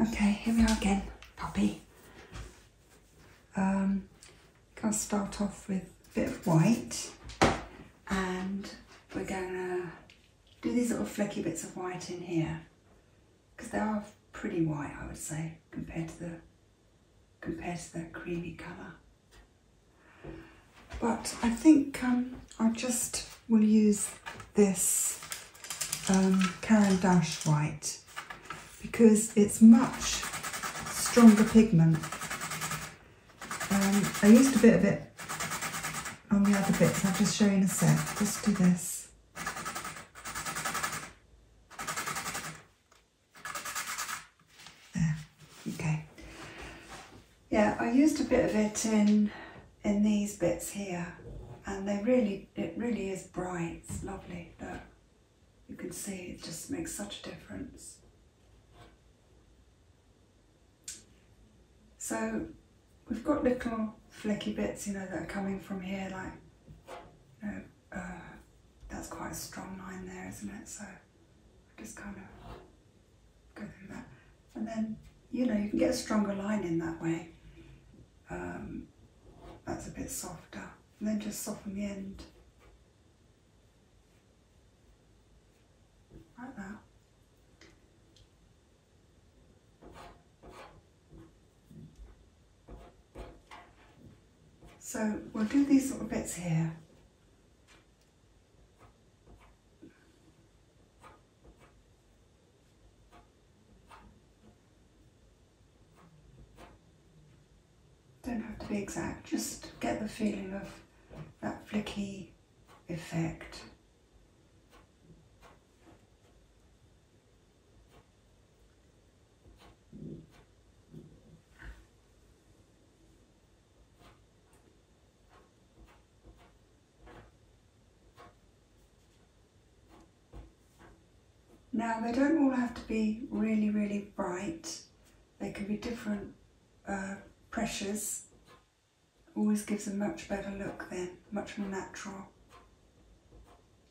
Okay, here we are again, Poppy. Um, gonna start off with a bit of white and we're gonna do these little flecky bits of white in here because they are pretty white, I would say, compared to the compared to the creamy colour. But I think um, I'll just we'll use this um, Caran d'Ache white because it's much stronger pigment. Um, I used a bit of it on the other bits, I'll just show you in a sec. Just do this. There, okay. Yeah, I used a bit of it in in these bits here and they really, it really is bright, lovely, look. You can see it just makes such a difference. So we've got little flecky bits, you know, that are coming from here, like, you uh, that's quite a strong line there, isn't it? So just kind of go through that and then you know you can get a stronger line in that way. Um, that's a bit softer, and then just soften the end like that. So we'll do these little bits here. Don't have to be exact, just get the feeling of that flicky effect. Now they don't all have to be really, really bright. They can be different uh, pressures. Always gives a much better look then, much more natural.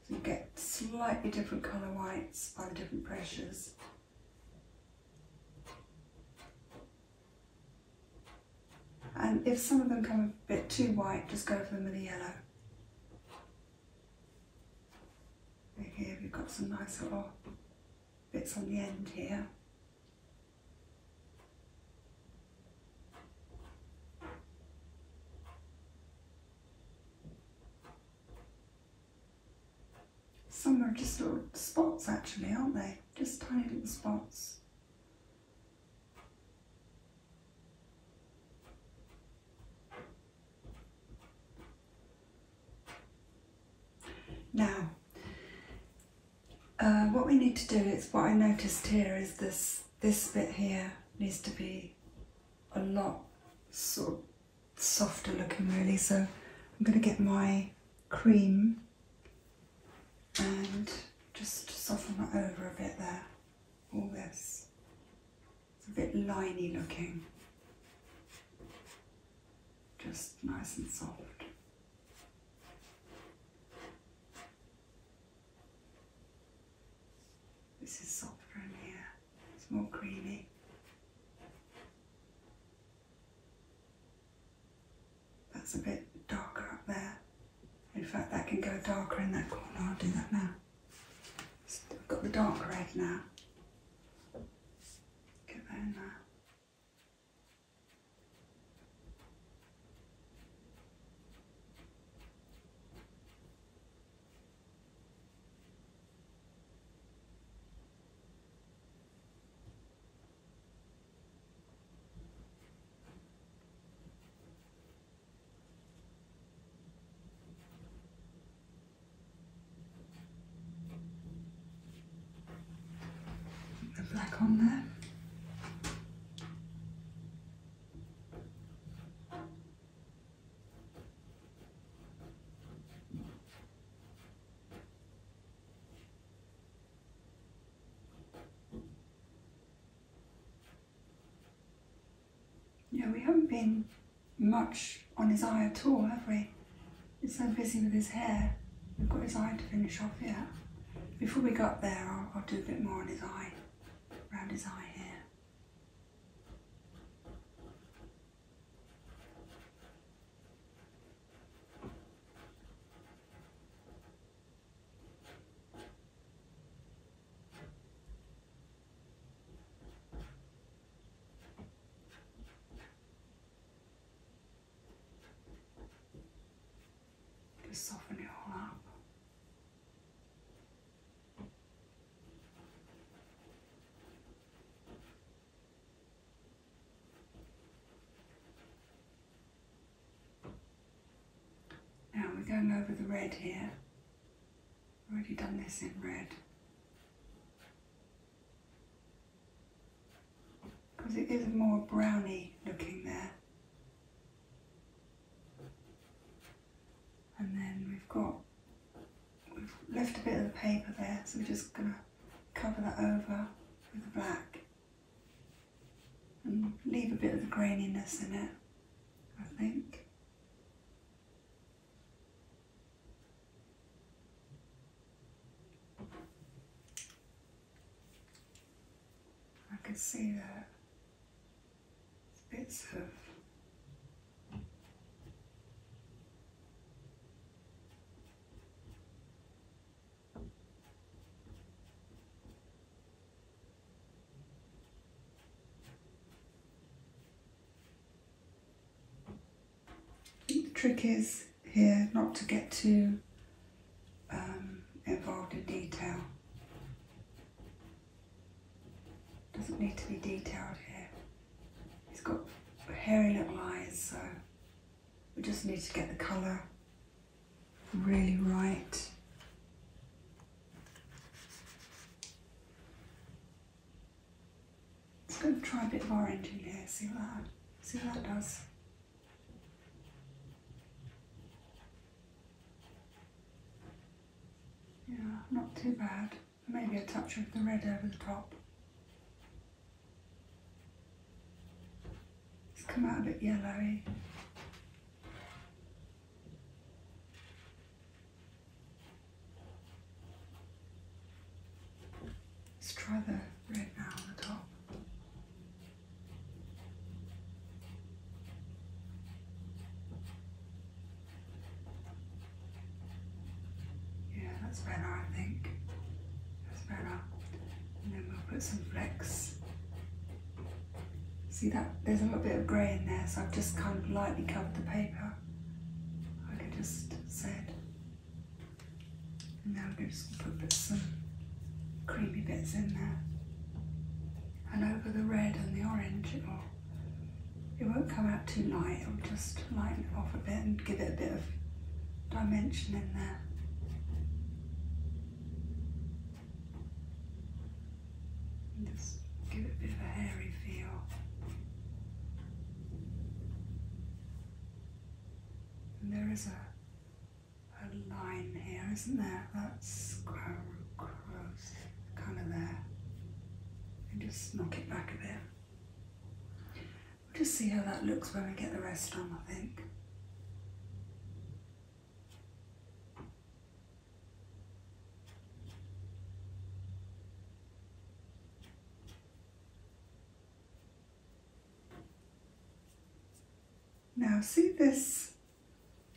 you get slightly different colour whites by the different pressures. And if some of them come a bit too white, just go for them with a yellow. Okay, we've got some nice little bits on the end here. Some are just little spots actually, aren't they? Just tiny little spots. Now, uh, what we need to do is what I noticed here is this this bit here needs to be a lot sort of softer looking really so I'm going to get my cream and just soften that over a bit there, all this. It's a bit liney looking, just nice and soft. This is softer in here, it's more creamy. That's a bit darker up there. In fact, that can go darker in that corner. I'll do that now. I've got the dark red now. Get that in there the black on there. Yeah, we haven't been much on his eye at all, have we? He's so busy with his hair. We've got his eye to finish off yet. Before we go up there, I'll do a bit more on his eye, around his eye here. Just soften it all up. Now we're going over the red here. I've Already done this in red. Because it is more brownie looking there. And then we've got, we've left a bit of the paper there, so we're just going to cover that over with the black and leave a bit of the graininess in it, I think. I can see that bits of the trick is here not to get too um, involved in detail. Doesn't need to be detailed here. He's got hairy little eyes, so we just need to get the colour really right. Let's go and try a bit of orange in here, see what that, see what that does. Yeah, not too bad. Maybe a touch of the red over the top. It's come out a bit yellowy. Let's try the red now on the top. Yeah, that's better I think. That's better and then we'll put some flecks. See that, there's a little bit of grey in there, so I've just kind of lightly covered the paper, I can just said. And now we're just going to put some creamy bits in there. And over the red and the orange, it will, it won't come out too light, it'll just lighten it off a bit and give it a bit of dimension in there just give it a bit of a hairy feel. And there is a, a line here, isn't there? That's gross, kind of there. And just knock it back a bit. We'll just see how that looks when we get the rest on, I think. Now see this,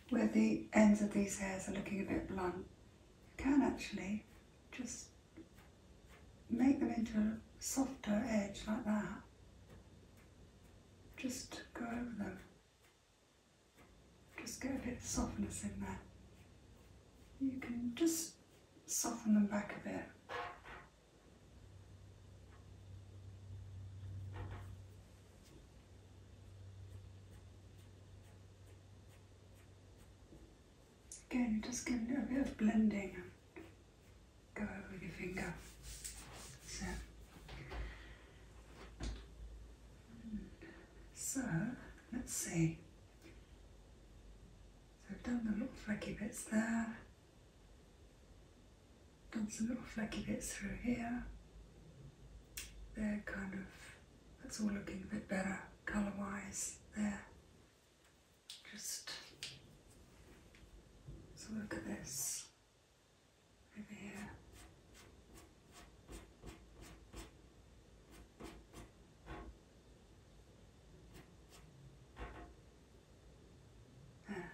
where the ends of these hairs are looking a bit blunt, you can actually just make them into a softer edge like that. Just go over them. Just get a bit of softness in there. You can just soften them back a bit. Again, just give it a bit of blending Go over with your finger. So, so let's see. So I've done the little flecky bits there. Done some little flecky bits through here. They're kind of, that's all looking a bit better colour wise there. Just so look at this over here. There,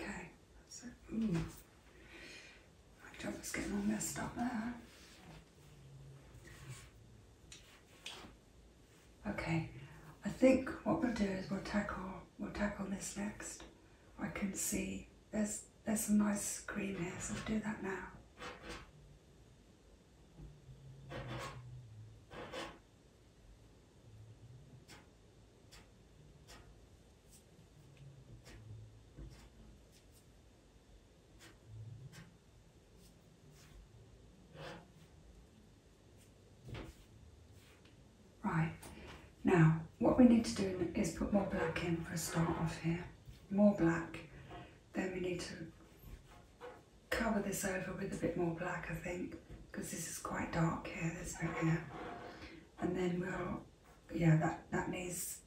okay, that's it. Ooh. Mm. My job is getting all messed up there. Okay, I think what we'll do is we'll tackle we'll tackle this next. I can see there's there's some nice green here, so do that now. Right, now what we need to do is put more black in for a start off here. More black, then we need to cover this over with a bit more black I think because this is quite dark here, this bit here. And then we'll, yeah that, that needs,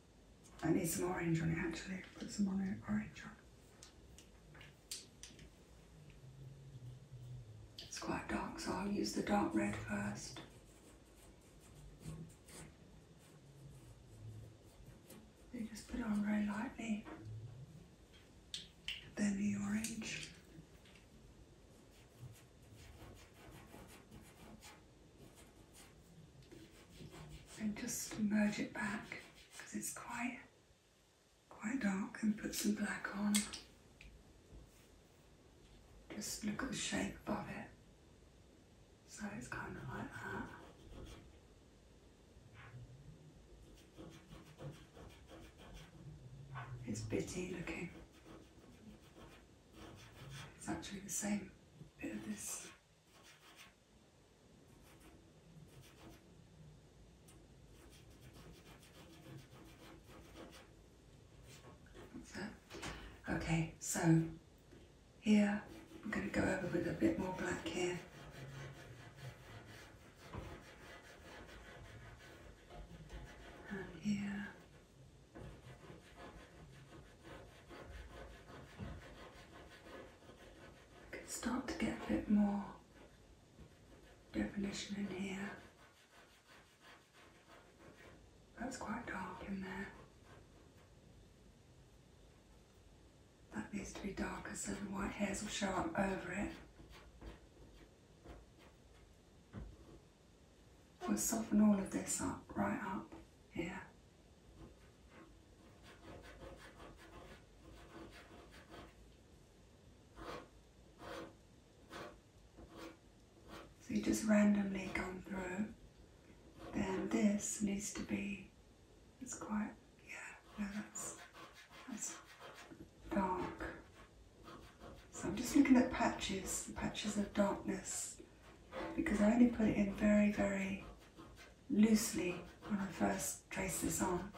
that needs some orange on it actually, put some orange on it's quite dark, so I'll use the dark red first. just put on very lightly, then the orange. And just merge it back because it's quite quite dark and put some black on. Just look at the shape above it. So it's kind of like that. It's bitty looking. It's actually the same bit of this. Okay, so here I'm going to go over with a bit more black here. And here. I can start to get a bit more definition in here. That's quite dark in there. That needs to be darker so the white hairs will show up over it. We'll soften all of this up, right up here. So you just randomly come through. Then this needs to be, it's quite, yeah, no, that's, that's dark. So I'm just looking at patches, patches of darkness, because I only put it in very, very loosely when I first traced this on.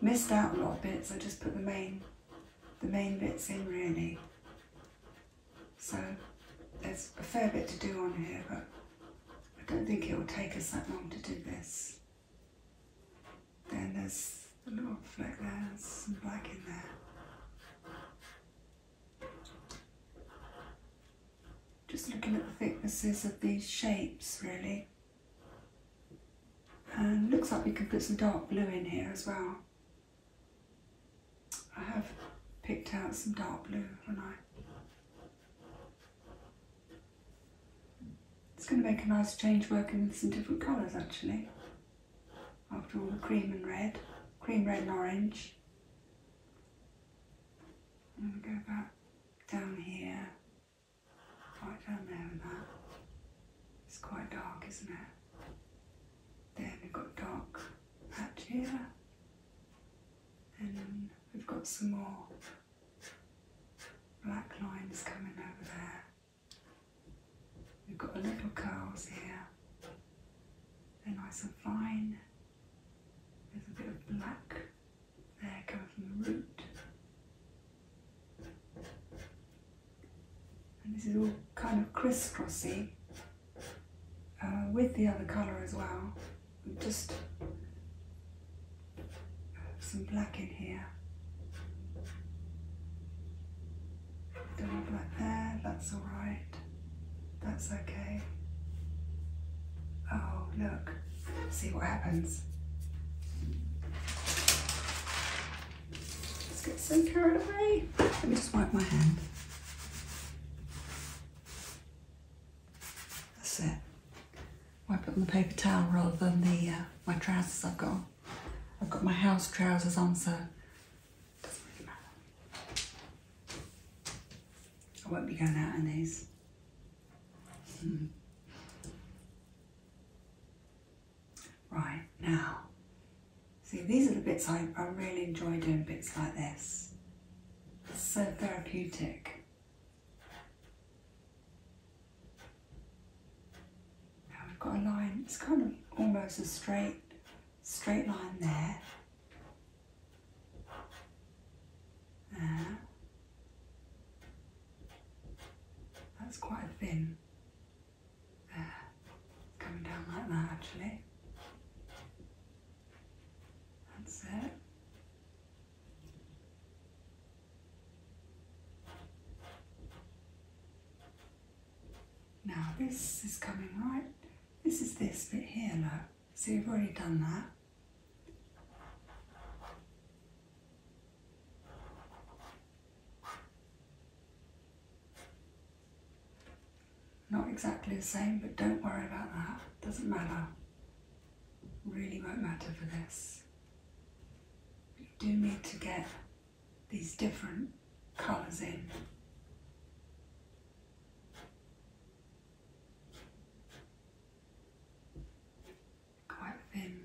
Missed out a lot of bits, I just put the main the main bits in really. So there's a fair bit to do on here, but I don't think it will take us that long to do this. Then there's a little fleck there, there's some black in there. Just looking at the thicknesses of these shapes really. And looks like we can put some dark blue in here as well. I have picked out some dark blue, haven't I? It's going to make a nice change working with some different colours actually. After all the cream and red, cream red and orange. I'm going to go back down here Right down there and that. It's quite dark, isn't it? Then we've got dark patch here. And we've got some more black lines coming over there. We've got a little curls here. They're nice and fine. There's a bit of black there coming from the root. And this is all kind of crisscrossy uh, with the other colour as well. And just some black in here. Don't want black there, that's alright. That's okay. Oh, look. See what happens. Let's get some carried away. Let me just wipe my hand. That's it. Wipe it on the paper towel rather than the uh, my trousers I've got. I've got my house trousers on, so doesn't really matter. I won't be going out in these. Hmm. Right, now, see these are the bits I, really enjoy doing bits like this. It's so therapeutic. Now we've got a line, it's kind of almost a straight, straight line there. There. That's quite thin there, uh, coming down like that actually. That's it. Now this is coming right, this is this bit here look, so you've already done that. Not exactly the same, but don't worry about that. Doesn't matter. Really won't matter for this. You do need to get these different colours in quite thin.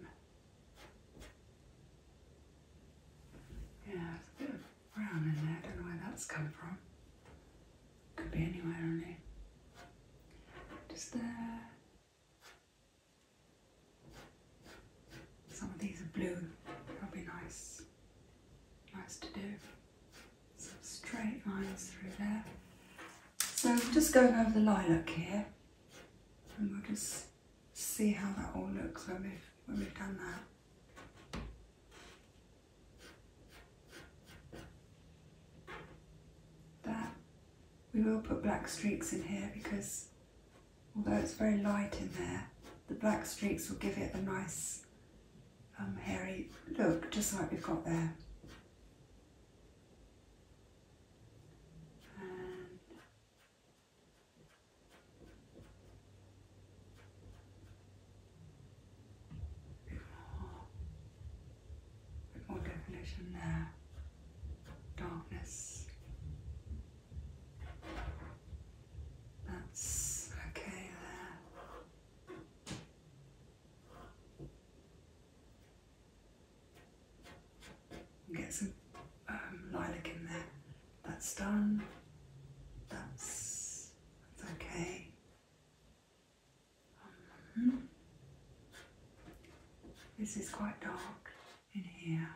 Yeah, a bit of brown in there. don't know where that's come from. Could be anywhere, really. Just there. Some of these are blue. That'll be nice. Nice to do. Some straight lines through there. So just going over the lilac here and we'll just see how that all looks when we've, done that. That, we will put black streaks in here because although it's very light in there, the black streaks will give it a nice um, hairy look, just like we've got there. And more, more definition there. Darkness. That's okay there get some um, lilac in there. That's done. That's, okay. Mm-hmm. this is quite dark in here.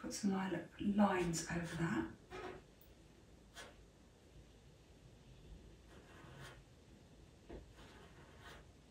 put some lilac lines over that.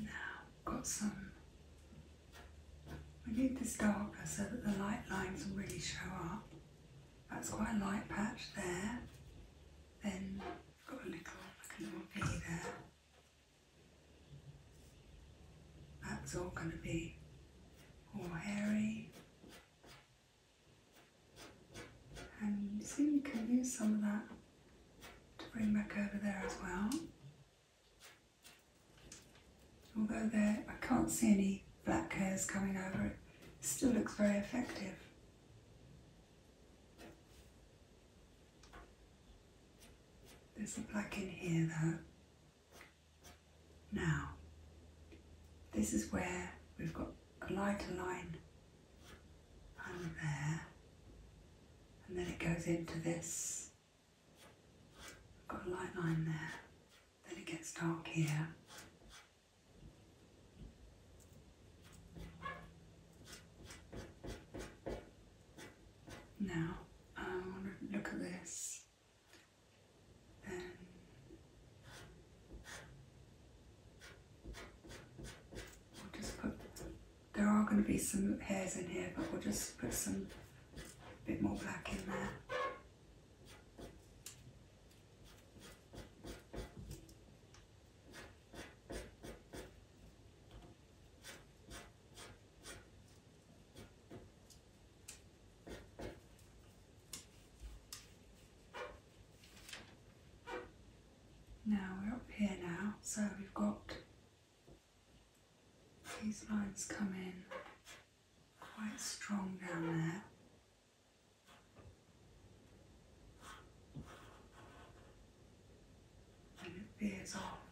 Now got some we need this darker so that the light lines will really show up. That's quite a light patch there. Then I've got a little, like a little V there. That's all going to be all hairy. And you see you can use some of that to bring back over there as well. Although there, I can't see any black hairs coming over it, still looks very effective. There's a black in here though. Now, this is where we've got a lighter line under there, and then it goes into this Got a light line there, then it gets dark here. Now I want to look at this, then we'll just put, there are going to be some hairs in here, but we'll just put some bit more black in there. Now we're up here now, so we've got these lines coming quite strong down there. And it veers off.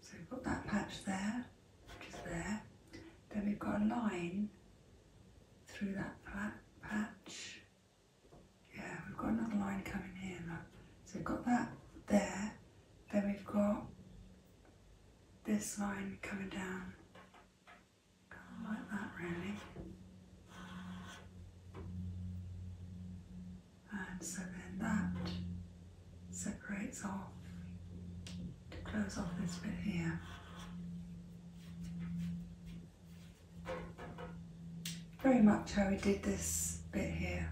So we've got that patch there, which is there. Then we've got a line through that patch. Yeah, we've got another line coming here, look. So we've got that there, then we've got this line coming down kind of like that really. And so then that separates off to close off this bit here. Very much how we did this bit here.